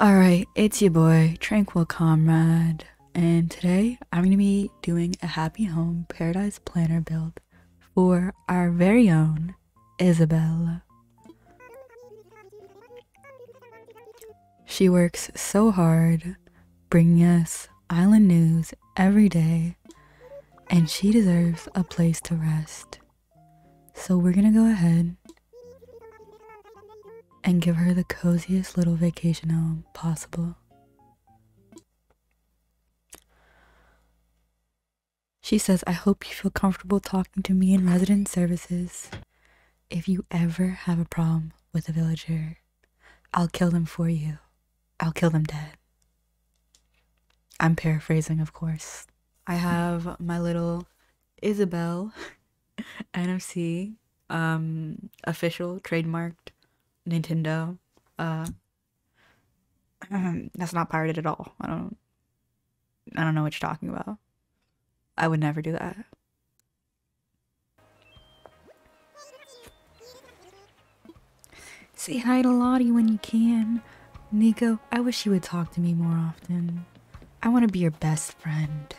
Alright, it's your boy, Tranquil Comrade, and today I'm going to be doing a Happy Home Paradise Planner build for our very own Isabel. She works so hard, bringing us island news every day, and she deserves a place to rest. So we're gonna go ahead and give her the coziest little vacation home possible. She says, I hope you feel comfortable talking to me in resident services. If you ever have a problem with a villager, I'll kill them for you. I'll kill them dead. I'm paraphrasing, of course. I have my little Isabel, NMC, um, official, trademarked, Nintendo. Uh, um, that's not pirated at all. I don't. I don't know what you're talking about. I would never do that. Say hi to Lottie when you can. Nico, I wish you would talk to me more often. I want to be your best friend.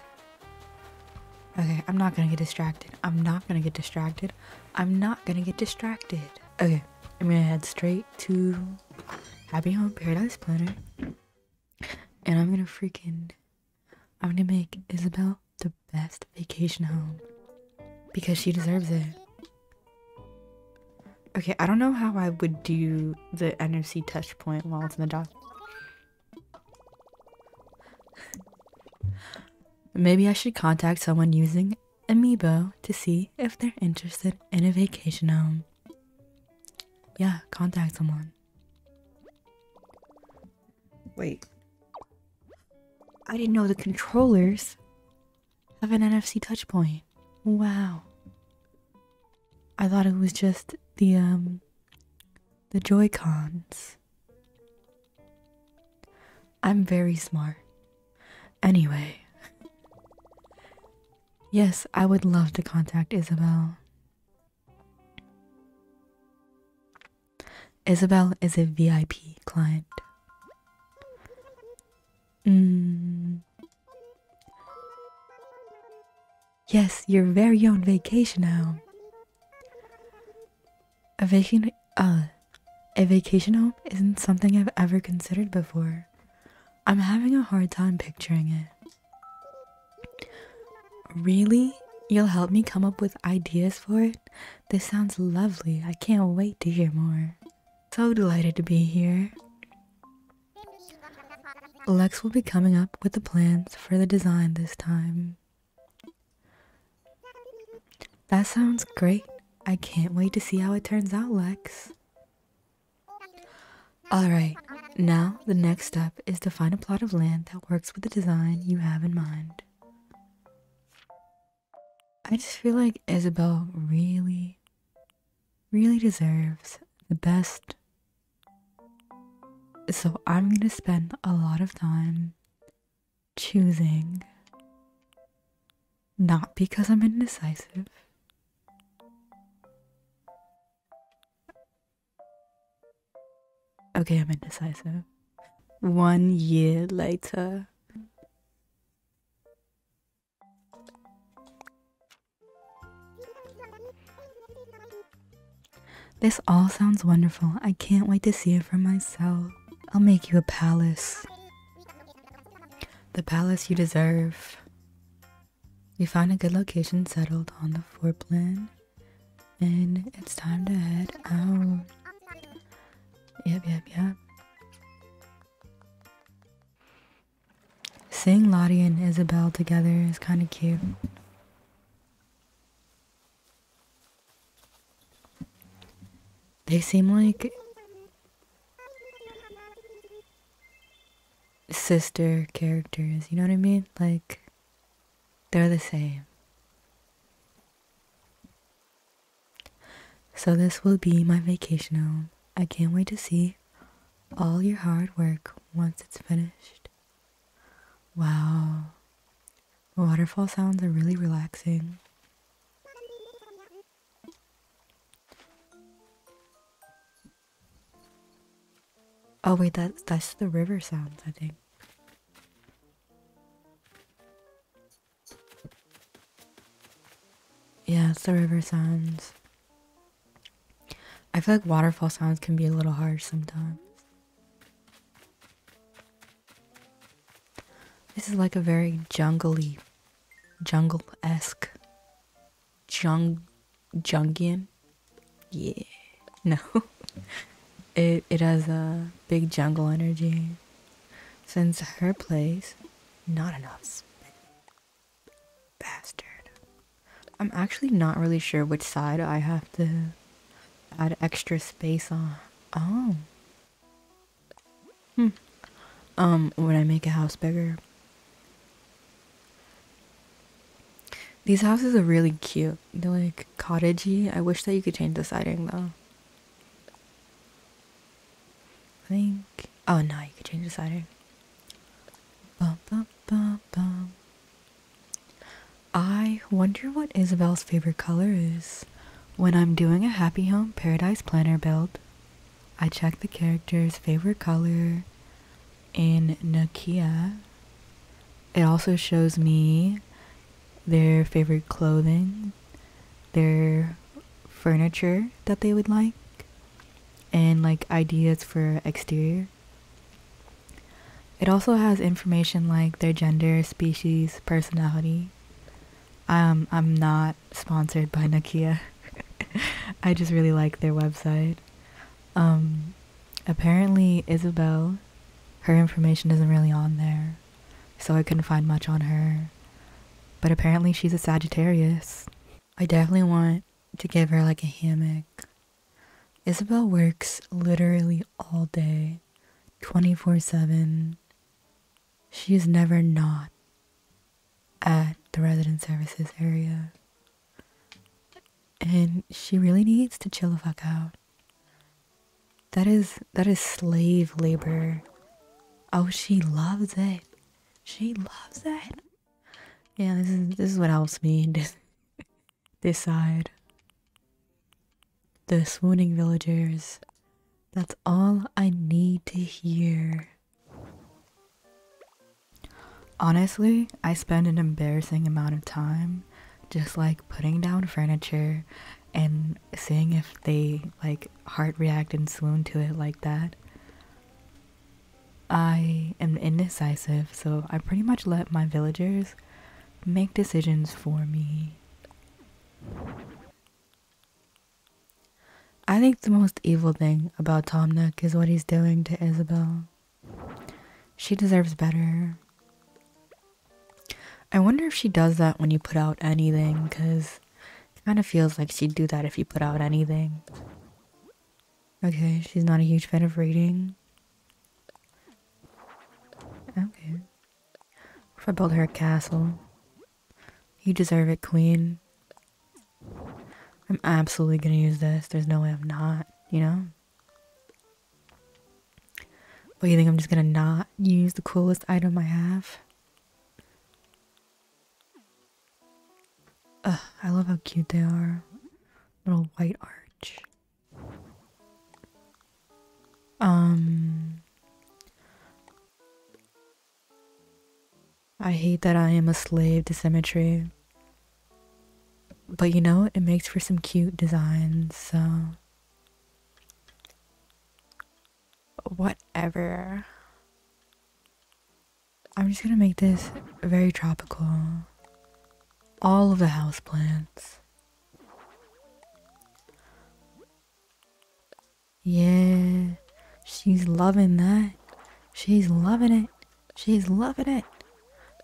Okay, I'm not gonna get distracted. I'm not gonna get distracted. I'm not gonna get distracted. Okay, I'm gonna head straight to Happy Home Paradise Planner. And I'm gonna freaking. I'm gonna make Isabel the best vacation home. Because she deserves it. Okay, I don't know how I would do the NFC touch point while it's in the dock. Maybe I should contact someone using Amiibo to see if they're interested in a vacation home. Yeah, contact someone. Wait. I didn't know the controllers have an NFC touch point. Wow. I thought it was just the um the Joy Cons. I'm very smart. Anyway. Yes, I would love to contact Isabel. Isabel is a VIP client. Mm, Yes, your very own vacation home. A vacation, uh, a vacation home isn't something I've ever considered before. I'm having a hard time picturing it. Really? You'll help me come up with ideas for it? This sounds lovely. I can't wait to hear more. So delighted to be here. Lex will be coming up with the plans for the design this time. That sounds great. I can't wait to see how it turns out, Lex. Alright, now the next step is to find a plot of land that works with the design you have in mind. I just feel like Isabel really, really deserves the best so I'm going to spend a lot of time choosing, not because I'm indecisive. Okay, I'm indecisive. One year later. This all sounds wonderful. I can't wait to see it for myself. I'll make you a palace. The palace you deserve. We found a good location settled on the floor plan. And it's time to head out. Yep, yep, yep. Seeing Lottie and Isabel together is kind of cute. They seem like sister characters, you know what I mean? Like, they're the same. So, this will be my vacation home. I can't wait to see all your hard work once it's finished. Wow, waterfall sounds are really relaxing. Oh wait, that that's the river sounds, I think. Yeah, it's the river sounds. I feel like waterfall sounds can be a little harsh sometimes. This is like a very jungly, jungle esque, jung, jungian. Yeah, no, it it has a big jungle energy. Since her place, not enough. Bastard. I'm actually not really sure which side I have to add extra space on. Oh. Hmm. Um, would I make a house bigger? These houses are really cute. They're like cottagey. I wish that you could change the siding though. I think. Oh no, you could change the siding. I wonder what Isabel's favorite color is. When I'm doing a Happy Home Paradise Planner build, I check the character's favorite color in Nakia. It also shows me their favorite clothing, their furniture that they would like, and like ideas for exterior it also has information like their gender, species, personality. Um, I'm not sponsored by Nokia. I just really like their website. Um, apparently, Isabel, her information isn't really on there, so I couldn't find much on her. But apparently, she's a Sagittarius. I definitely want to give her like a hammock Isabel works literally all day, 24 7. She is never not at the resident services area. And she really needs to chill the fuck out. That is that is slave labor. Oh, she loves it. She loves it. Yeah, this is this is what helps me decide. The swooning villagers. That's all I need to hear. Honestly, I spend an embarrassing amount of time just like putting down furniture and seeing if they like heart react and swoon to it like that. I am indecisive, so I pretty much let my villagers make decisions for me. I think the most evil thing about Tom Tomnik is what he's doing to Isabel. She deserves better. I wonder if she does that when you put out anything, because it kind of feels like she'd do that if you put out anything. Okay, she's not a huge fan of reading. Okay. If I build her a castle. You deserve it, queen. I'm absolutely gonna use this. There's no way I'm not, you know? What, you think I'm just gonna not use the coolest item I have? Ugh, I love how cute they are. Little white arch. Um. I hate that I am a slave to symmetry. But you know, it makes for some cute designs, so. Whatever. I'm just gonna make this very tropical. All of the houseplants. Yeah, she's loving that. She's loving it. She's loving it.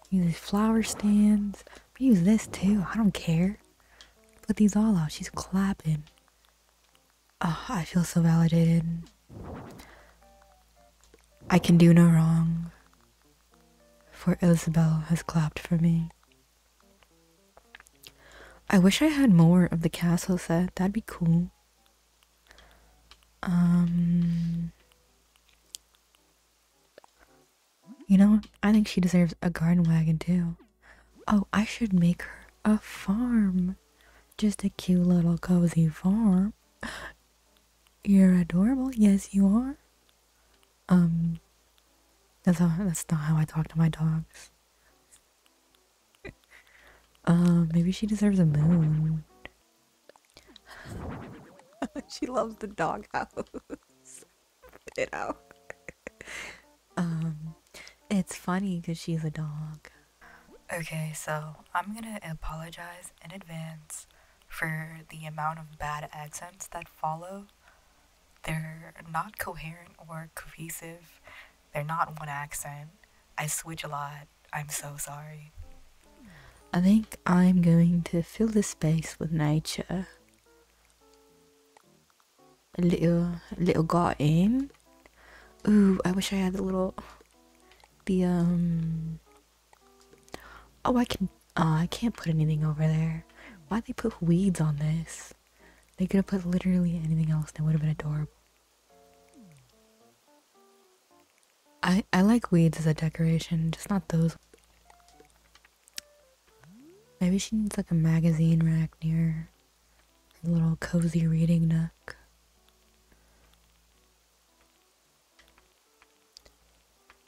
Use flower stands. Use this too. I don't care. Put these all out. She's clapping. Oh, I feel so validated. I can do no wrong, for Isabel has clapped for me. I wish I had more of the castle set. That'd be cool. Um, you know, I think she deserves a garden wagon too. Oh, I should make her a farm. Just a cute little cozy farm. You're adorable. Yes, you are. Um, that's how, that's not how I talk to my dogs. Um, maybe she deserves a moon. she loves the doghouse. Put it um, it's funny because she's a dog. Okay, so I'm gonna apologize in advance for the amount of bad accents that follow. They're not coherent or cohesive. They're not one accent. I switch a lot. I'm so sorry. I think I'm going to fill the space with nature. A little, a little garden. Ooh, I wish I had a little, the um, Oh, I can. Uh, I can't put anything over there. why they put weeds on this? They could have put literally anything else that would have been adorable. I I like weeds as a decoration, just not those. Maybe she needs like a magazine rack near a little cozy reading nook.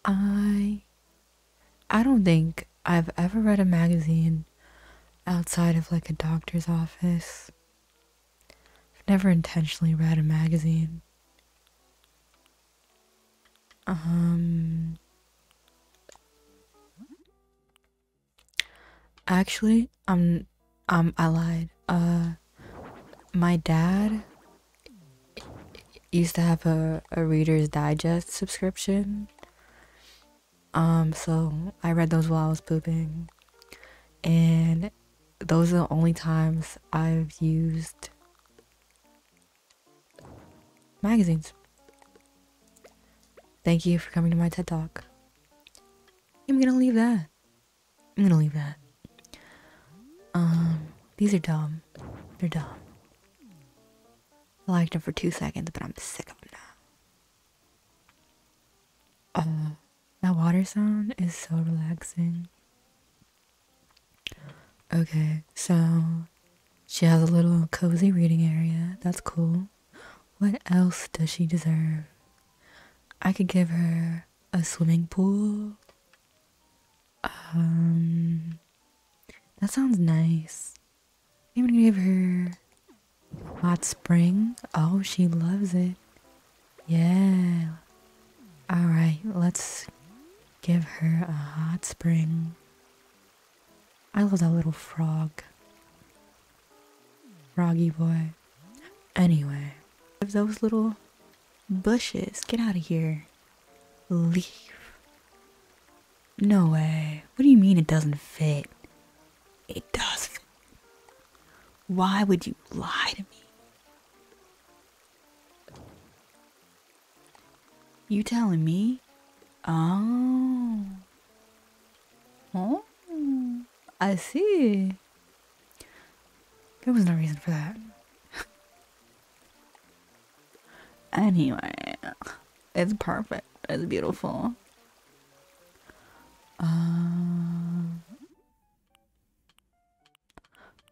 I I don't think I've ever read a magazine outside of like a doctor's office. I've never intentionally read a magazine. Um Actually, I'm um, I lied. Uh, my dad used to have a, Reader's Digest subscription. Um, so I read those while I was pooping. And those are the only times I've used magazines. Thank you for coming to my TED Talk. I'm gonna leave that. I'm gonna leave that. Um, these are dumb. They're dumb. I liked them for two seconds, but I'm sick of them now. Uh, that water sound is so relaxing. Okay, so she has a little cozy reading area. That's cool. What else does she deserve? I could give her a swimming pool um, that sounds nice. I'm gonna give her hot spring. Oh, she loves it. Yeah. All right, let's give her a hot spring. I love that little frog. Froggy boy. Anyway, give those little Bushes, get out of here. Leave. No way. What do you mean it doesn't fit? It does Why would you lie to me? You telling me? Oh. Oh, I see. There was no reason for that. anyway, it's perfect. It's beautiful. Uh,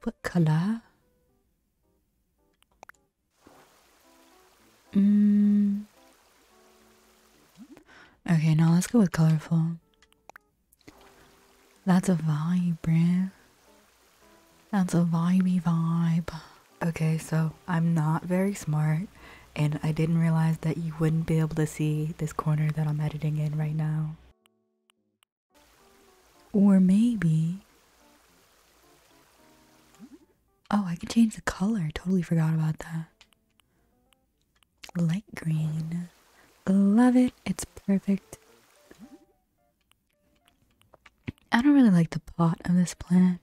what color? Mm. Okay, now let's go with colorful. That's a vibe, bruh. That's a vibey vibe. Okay, so I'm not very smart, and I didn't realize that you wouldn't be able to see this corner that I'm editing in right now. Or maybe... Oh, I can change the color. Totally forgot about that. Light green. Love it. It's perfect. I don't really like the pot of this plant.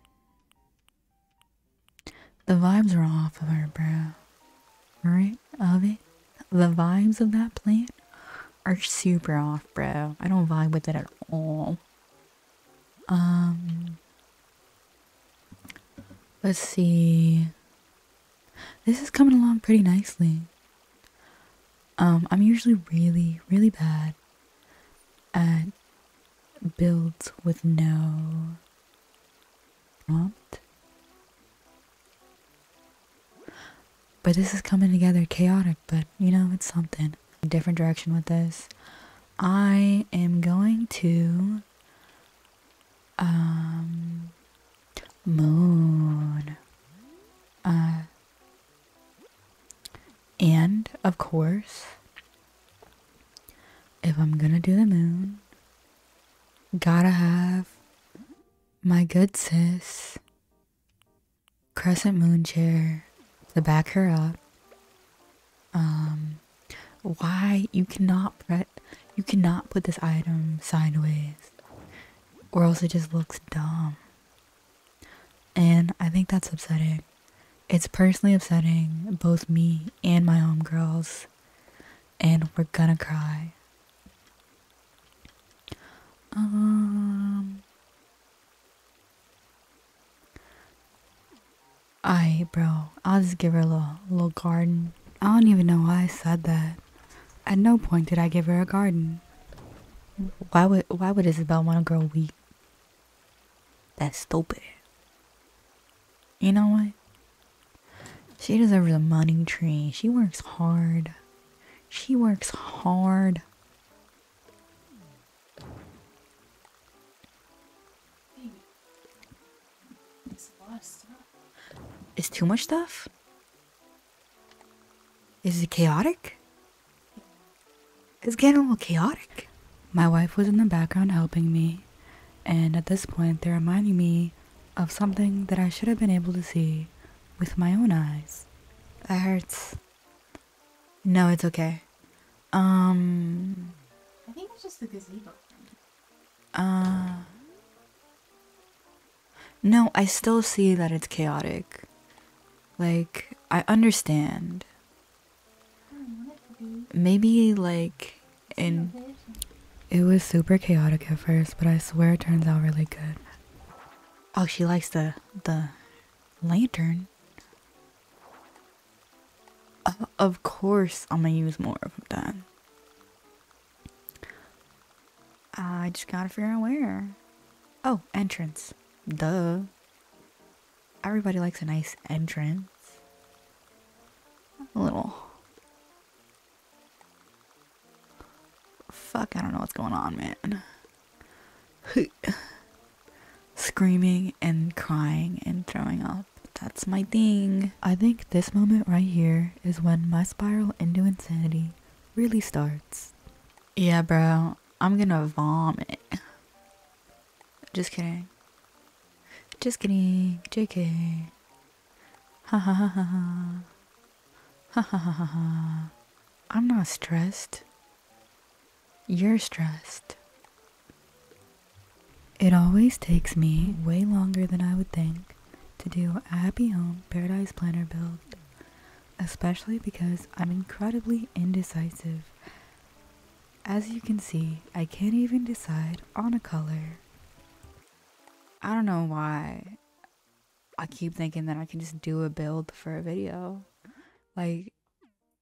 The vibes are off of her, bro. Right? Of it? The vibes of that plant are super off, bro. I don't vibe with it at all. Um. Let's see. This is coming along pretty nicely. Um, I'm usually really, really bad at builds with no prompt. But this is coming together chaotic, but you know, it's something. Different direction with this. I am going to um moon. Uh, and of course, if I'm gonna do the moon, gotta have my good sis, Crescent Moon Chair, to back her up. Um, why you cannot put you cannot put this item sideways or else it just looks dumb. And I think that's upsetting. It's personally upsetting both me and my homegirls, and we're gonna cry. Um, I, bro, I'll just give her a little, little garden. I don't even know why I said that. At no point did I give her a garden. Why would why would Isabel want a girl wheat? That's stupid. You know what? She deserves a money tree. She works hard. She works hard. It's too much stuff? Is it chaotic? It's getting a little chaotic. My wife was in the background helping me, and at this point, they're reminding me of something that I should have been able to see with my own eyes. That hurts. No, it's okay. Um. I think it's just the gazebo. Uh. No, I still see that it's chaotic. Like, I understand. Maybe, like, and It was super chaotic at first, but I swear it turns out really good. Oh, she likes the the lantern. of course, I'm gonna use more of that. I just gotta figure out where. Oh, entrance. Duh. Everybody likes a nice entrance. A little. Fuck, I don't know what's going on, man. Screaming and crying and throwing up. That's my thing. I think this moment right here is when my spiral into insanity really starts. Yeah, bro. I'm gonna vomit. Just kidding. Just kidding. JK. Ha ha ha ha ha. Ha ha ha I'm not stressed. You're stressed. It always takes me way longer than I would think to do a happy home paradise planner build, especially because I'm incredibly indecisive. As you can see, I can't even decide on a color. I don't know why I keep thinking that I can just do a build for a video. Like,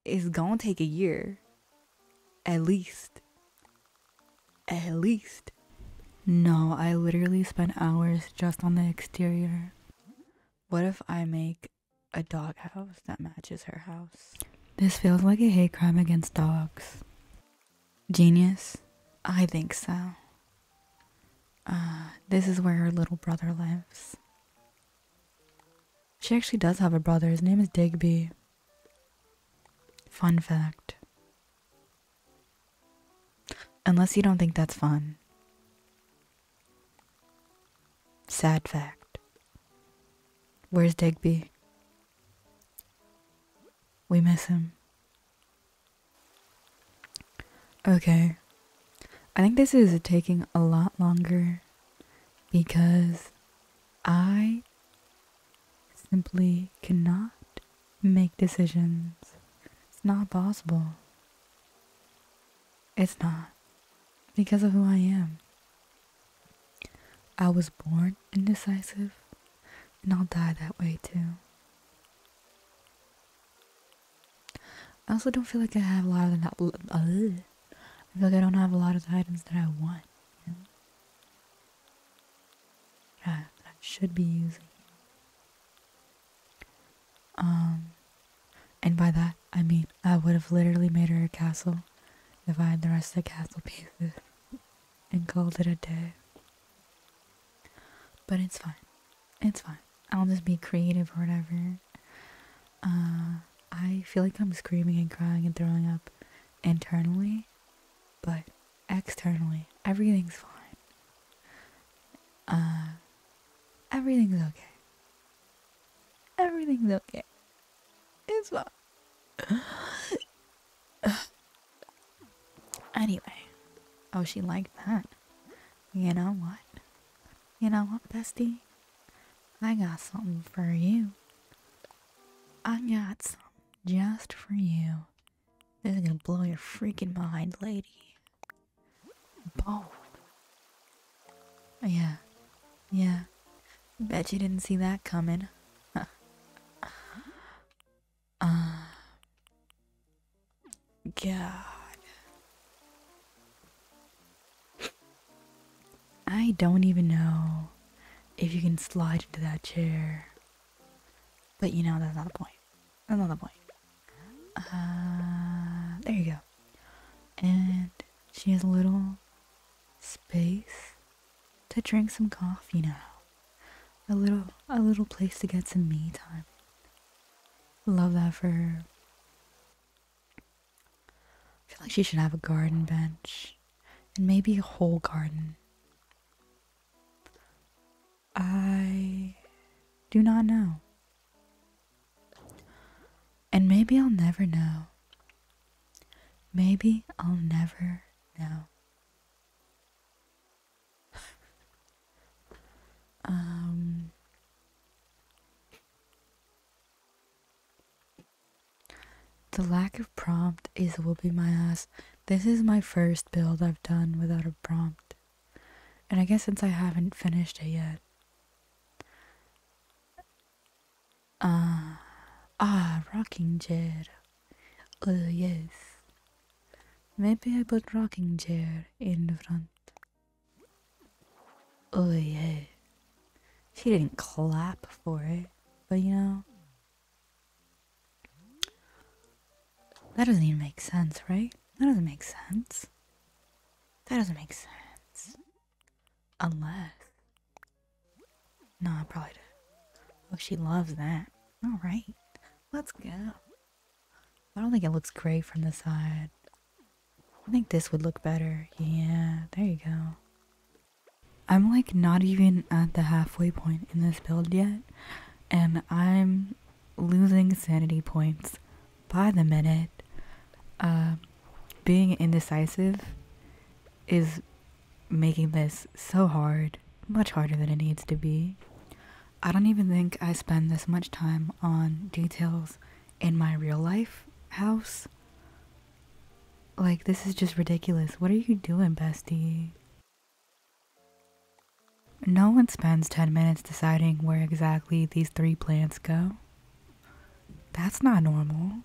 it's gonna take a year, at least at least. No, I literally spent hours just on the exterior. What if I make a dog house that matches her house? This feels like a hate crime against dogs. Genius? I think so. Uh, this is where her little brother lives. She actually does have a brother. His name is Digby. Fun fact. Unless you don't think that's fun. Sad fact. Where's Digby? We miss him. Okay. I think this is taking a lot longer because I simply cannot make decisions. It's not possible. It's not. Because of who I am. I was born indecisive, and I'll die that way too. I also don't feel like I have a lot of the. Uh, I feel like I don't have a lot of the items that I want. that I should be using. Um, and by that, I mean I would have literally made her a castle, if I had the rest of the castle pieces, and called it a day. But it's fine. It's fine. I'll just be creative or whatever. Uh, I feel like I'm screaming and crying and throwing up internally, but externally, everything's fine. Uh, everything's okay. Everything's okay. It's fine. anyway. Oh, she liked that. You know what? You know what, bestie? I got something for you. I got some just for you. This is gonna blow your freaking mind, lady. Oh, Yeah. Yeah. Bet you didn't see that coming. Uh, God. I don't even know if you can slide into that chair. But you know, that's not the point another boy. Uh, there you go. And she has a little space to drink some coffee now. A little a little place to get some me time. Love that for her. I feel like she should have a garden bench and maybe a whole garden. I do not know. And maybe I'll never know. Maybe I'll never know. um, the lack of prompt is will be my ass. This is my first build I've done without a prompt. And I guess since I haven't finished it yet. ah, ah, rocking chair. Oh, yes. Maybe I put rocking chair in front. Oh, yeah. She didn't clap for it, but you know, that doesn't even make sense, right? That doesn't make sense. That doesn't make sense. Unless. No, I probably do. Oh, she loves that. Alright. Let's go. I don't think it looks great from the side. I think this would look better. Yeah, there you go. I'm like not even at the halfway point in this build yet. And I'm losing sanity points by the minute. Uh, being indecisive is making this so hard, much harder than it needs to be. I don't even think I spend this much time on details in my real life house. Like, this is just ridiculous. What are you doing, bestie? No one spends 10 minutes deciding where exactly these three plants go. That's not normal.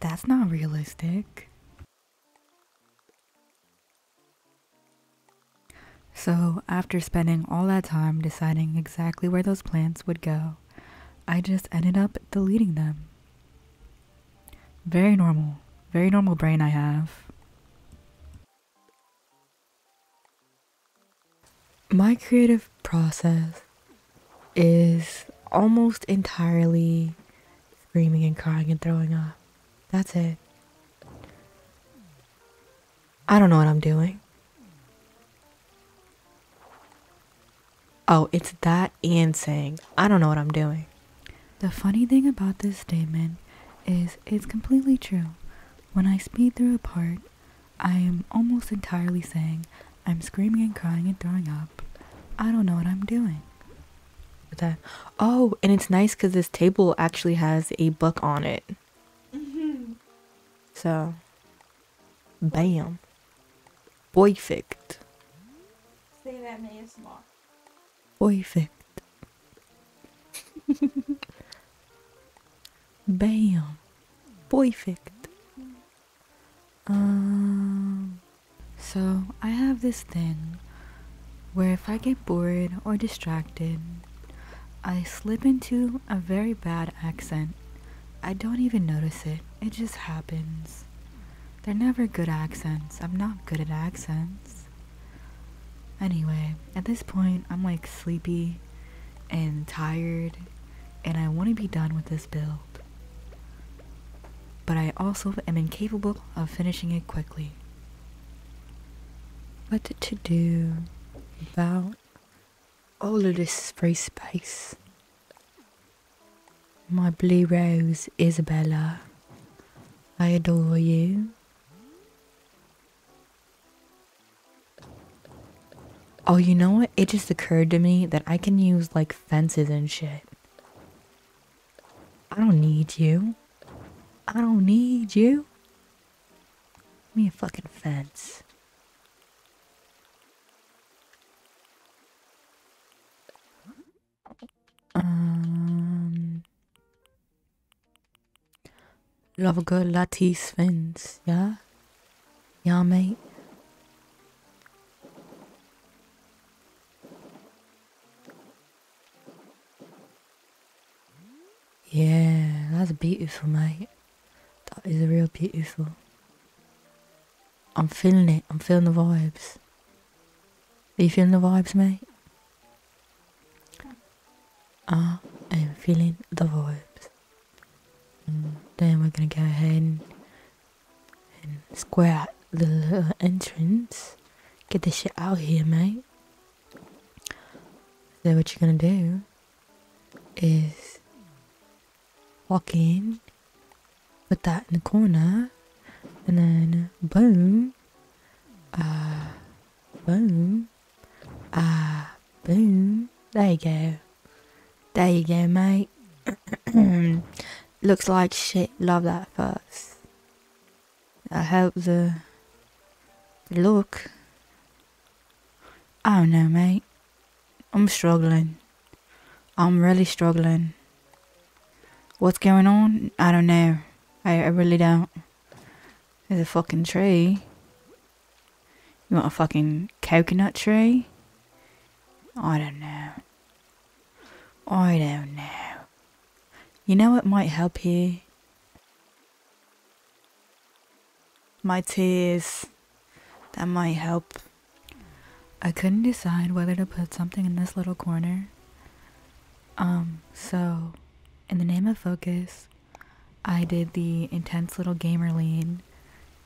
That's not realistic. So, after spending all that time deciding exactly where those plants would go, I just ended up deleting them. Very normal. Very normal brain I have. My creative process is almost entirely screaming and crying and throwing up. That's it. I don't know what I'm doing. Oh, it's that and saying, I don't know what I'm doing. The funny thing about this statement is it's completely true. When I speed through a part, I am almost entirely saying I'm screaming and crying and throwing up. I don't know what I'm doing. That oh, and it's nice because this table actually has a book on it. Mm-hmm. So, bam, perfect. Say that man smart. Perfect. Bam. Perfect. Um, so I have this thing where if I get bored or distracted, I slip into a very bad accent. I don't even notice it. It just happens. They're never good accents. I'm not good at accents. Anyway, at this point, I'm like sleepy and tired, and I want to be done with this build. But I also am incapable of finishing it quickly. What to do about all of this free space? My blue rose, Isabella, I adore you. Oh, you know what? It just occurred to me that I can use like fences and shit. I don't need you. I don't need you. me a fucking fence. Um, love a good Latte Sphinx, yeah? Yeah, mate. Yeah, that's beautiful, mate. That is real beautiful. I'm feeling it. I'm feeling the vibes you feeling the vibes, mate? I am feeling the vibes. Mm, then we're gonna go ahead and, square the little entrance. Get this shit out here, mate. So what you're gonna do is walk in, put that in the corner, and then boom, Ah, boom. Ah, boom. There you go. There you go, mate. Looks like shit. Love that first. I hope the look. I don't know, mate. I'm struggling. I'm really struggling. What's going on? I don't know. I really don't. There's a fucking tree. You want a fucking coconut tree? I don't know. I don't know. You know it might help you. My tears. That might help. I couldn't decide whether to put something in this little corner. Um, so in the name of focus, I did the intense little gamer lean,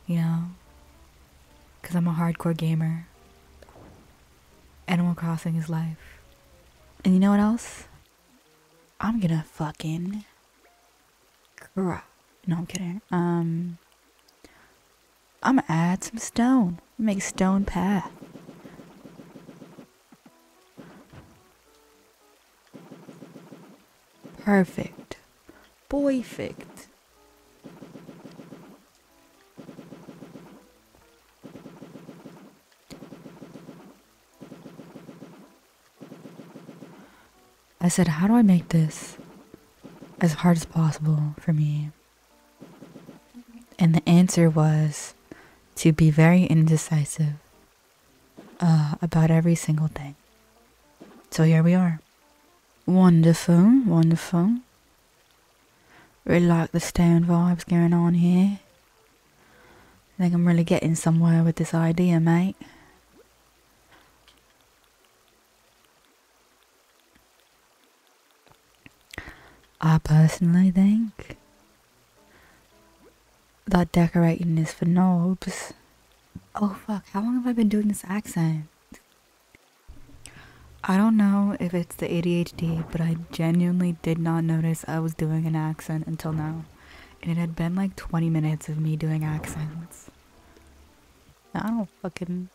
you know, because I'm a hardcore gamer. Animal Crossing is life. And you know what else? I'm gonna fucking. No, I'm kidding. Um, I'm gonna add some stone. Make stone path. Perfect. Perfect. I said, how do I make this as hard as possible for me? And the answer was to be very indecisive uh, about every single thing. So here we are. Wonderful, wonderful. Really like the stone vibes going on here. I think I'm really getting somewhere with this idea, mate. I personally think that decorating is for knobs. Oh fuck, how long have I been doing this accent? I don't know if it's the ADHD, but I genuinely did not notice I was doing an accent until now. it had been like 20 minutes of me doing accents. I don't fucking.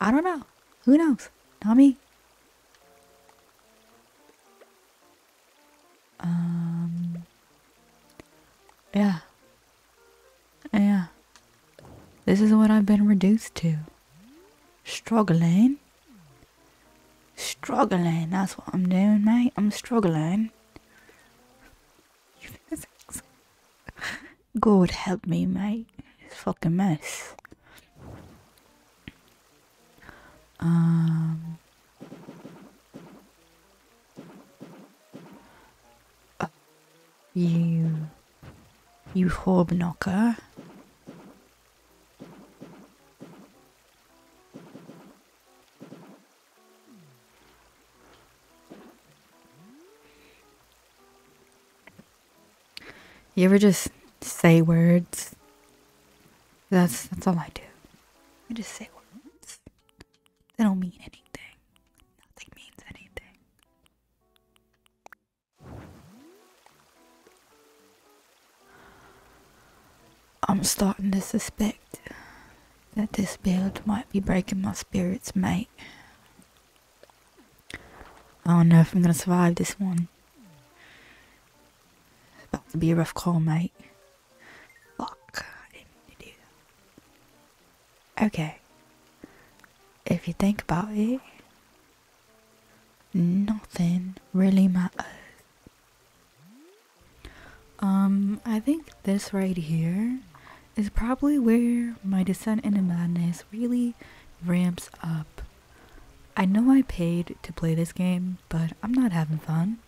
I don't know. Who knows? Not um. Yeah. Yeah. This is what I've been reduced to. Struggling. Struggling. That's what I'm doing, mate. I'm struggling. God help me, mate. It's fucking mess. Um, you, you hobnocker, You ever just say words that's that's all I do. I just say words. They don't mean anything. Nothing means anything. I'm starting to suspect that this build might be breaking my spirits, mate. I don't know if I'm gonna survive this one. About to be a rough call, mate. Fuck, Okay. If you think about it, nothing really matters. Um, I think this right here is probably where my descent into madness really ramps up. I know I paid to play this game, but I'm not having fun.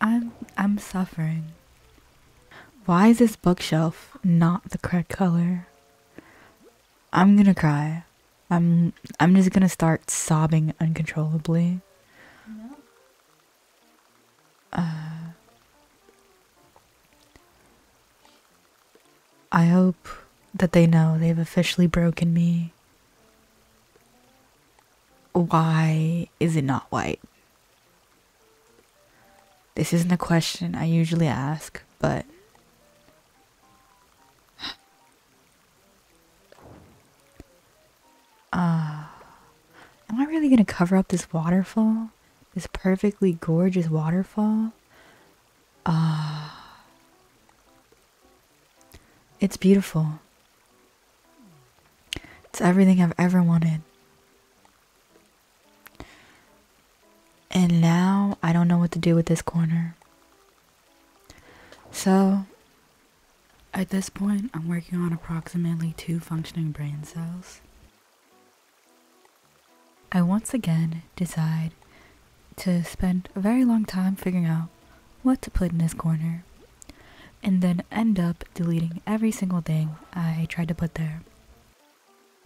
I'm I'm suffering. Why is this bookshelf not the correct color? I'm gonna cry. I'm I'm just gonna start sobbing uncontrollably. Uh, I hope that they know they've officially broken me why is it not white? This isn't a question I usually ask, but. Ah. am I really gonna cover up this waterfall? This perfectly gorgeous waterfall? Ah. It's beautiful. It's everything I've ever wanted. And now I don't know what to do with this corner. So, at this point, I'm working on approximately two functioning brain cells. I once again decide to spend a very long time figuring out what to put in this corner and then end up deleting every single thing I tried to put there.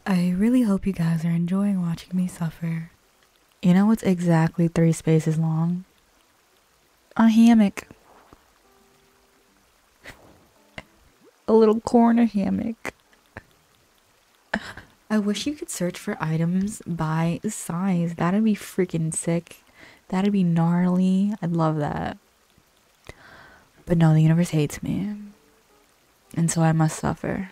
I really hope you guys are enjoying watching me suffer. You know what's exactly three spaces long? A hammock. A little corner hammock. I wish you could search for items by size. That'd be freaking sick. That'd be gnarly. I'd love that. But no, the universe hates me. And so I must suffer.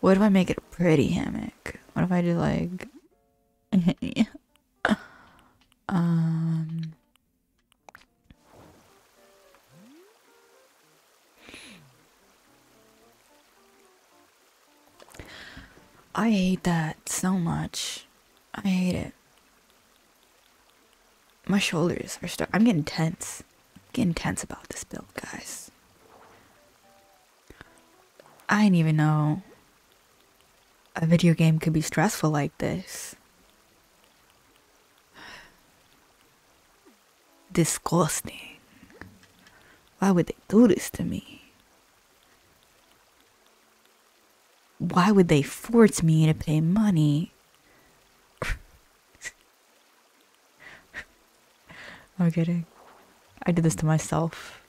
What if I make it a pretty hammock? What if I do like. um. I hate that so much. I hate it. My shoulders are stuck. I'm getting tense. getting tense about this build, guys. I didn't even know a video game could be stressful like this. Disgusting. Why would they do this to me? Why would they force me to pay money? I'm kidding. I did this to myself.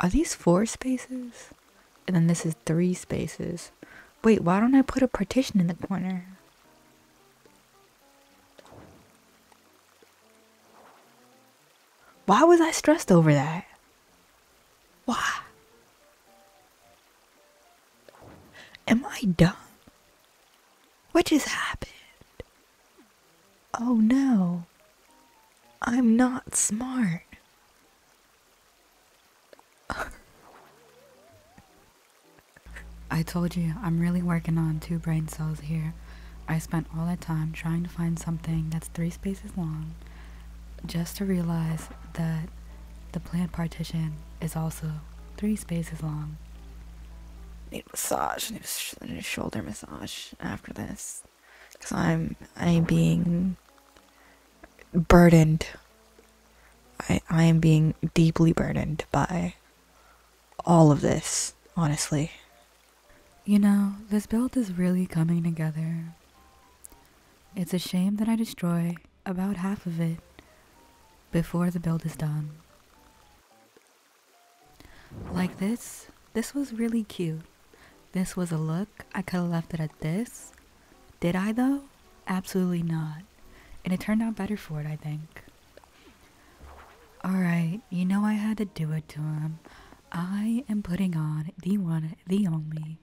Are these four spaces? And then this is three spaces. Wait, why don't I put a partition in the corner? Why was I stressed over that? Why? Am I done? What just happened? Oh no, I'm not smart. I told you, I'm really working on two brain cells here. I spent all that time trying to find something that's three spaces long just to realize that the plant partition is also three spaces long. Need massage, need, sh need shoulder massage after this because I'm I'm being burdened. I I am being deeply burdened by all of this, honestly. You know, this build is really coming together. It's a shame that I destroy about half of it before the build is done. Like this, this was really cute. This was a look, I could have left it at this. Did I though? Absolutely not. And it turned out better for it, I think. Alright, you know I had to do it to him. I am putting on the one, the only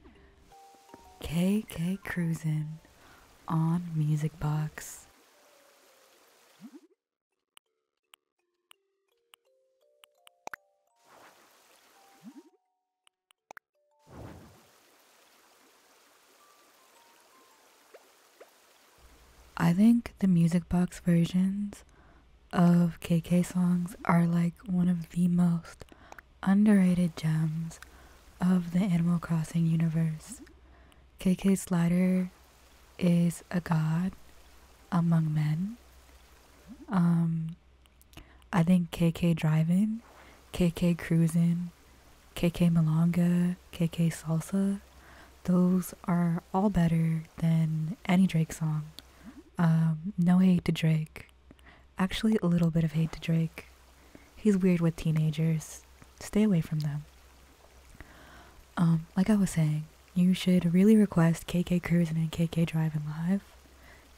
KK Cruisin' on Music Box. I think the music box versions of KK songs are like one of the most underrated gems of the Animal Crossing universe. KK Slider is a god among men. Um, I think KK Driving, KK Cruising, KK Malanga, KK Salsa, those are all better than any Drake song. Um, no hate to Drake. Actually, a little bit of hate to Drake. He's weird with teenagers. Stay away from them. Um, like I was saying, you should really request KK Cruising and KK Driving Live.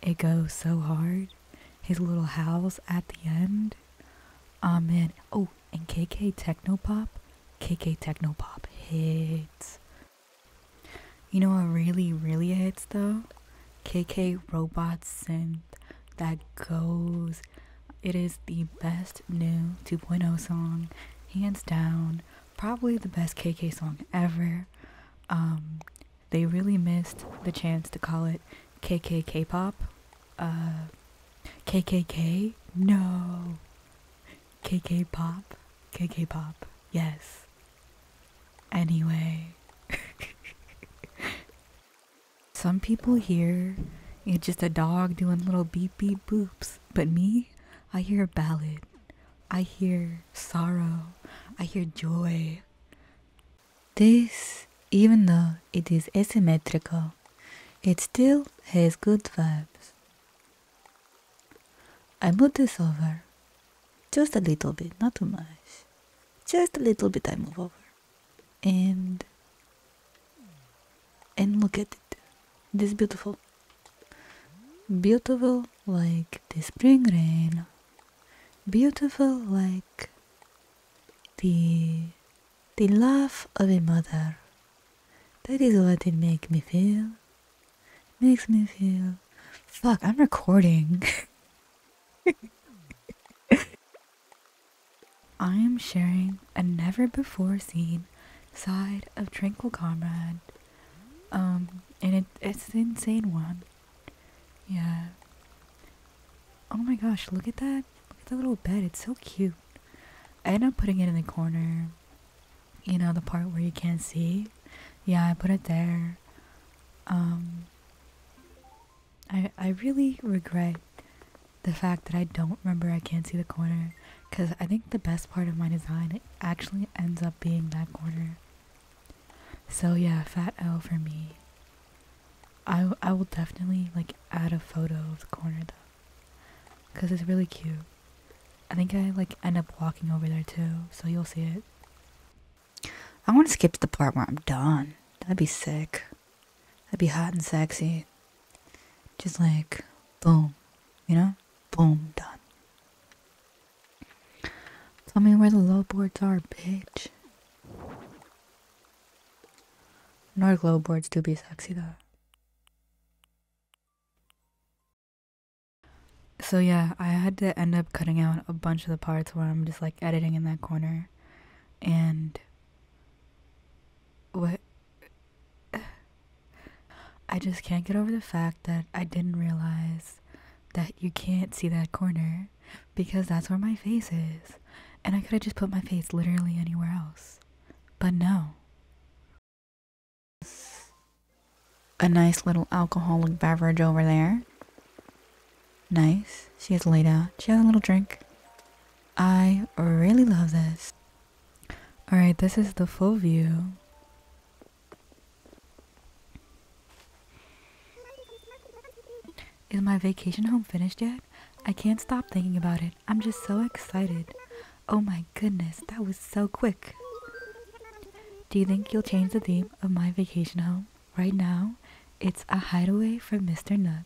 It goes so hard. His little howls at the end. Oh um, man. Oh, and KK Technopop. KK Technopop hits. You know what really, really hits though? KK Robot Synth that goes. It is the best new 2.0 song, hands down probably the best KK song ever. Um, they really missed the chance to call it KK K-pop. Uh, KKK? No. KK Pop? KK Pop. Yes. Anyway. Some people hear it's just a dog doing little beep beep boops, but me, I hear a ballad. I hear sorrow, I hear joy. This, even though it is asymmetrical, it still has good vibes. I move this over just a little bit, not too much. Just a little bit I move over. And and look at it. It is beautiful. Beautiful like the spring rain. Beautiful like the the love of a mother. That is what it makes me feel. Makes me feel. Fuck, I'm recording. I am sharing a never before seen side of Tranquil Comrade um, and it, it's an insane one. Yeah. Oh my gosh, look at that. Look at that little bed. It's so cute. I end up putting it in the corner. You know, the part where you can't see. Yeah, I put it there. Um, I, I really regret the fact that I don't remember I can't see the corner because I think the best part of my design actually ends up being that corner. So yeah, fat L for me. I, I will definitely like add a photo of the corner though, because it's really cute. I think I like end up walking over there too, so you'll see it. I want to skip to the part where I'm done. That'd be sick. That'd be hot and sexy. Just like, boom, you know? Boom, done. Tell me where the low boards are, bitch. Nordic low boards do be sexy though. So yeah, I had to end up cutting out a bunch of the parts where I'm just like editing in that corner and what I just can't get over the fact that I didn't realize that you can't see that corner because that's where my face is. And I could have just put my face literally anywhere else. But no. A nice little alcoholic beverage over there. Nice. She is laid out. She has a little drink. I really love this. All right, this is the full view. Is my vacation home finished yet? I can't stop thinking about it. I'm just so excited. Oh my goodness, that was so quick. Do you think you'll change the theme of my vacation home? Right now, it's a hideaway from Mr. Nook.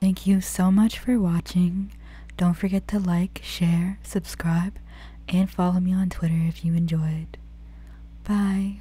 Thank you so much for watching. Don't forget to like, share, subscribe, and follow me on Twitter if you enjoyed. Bye.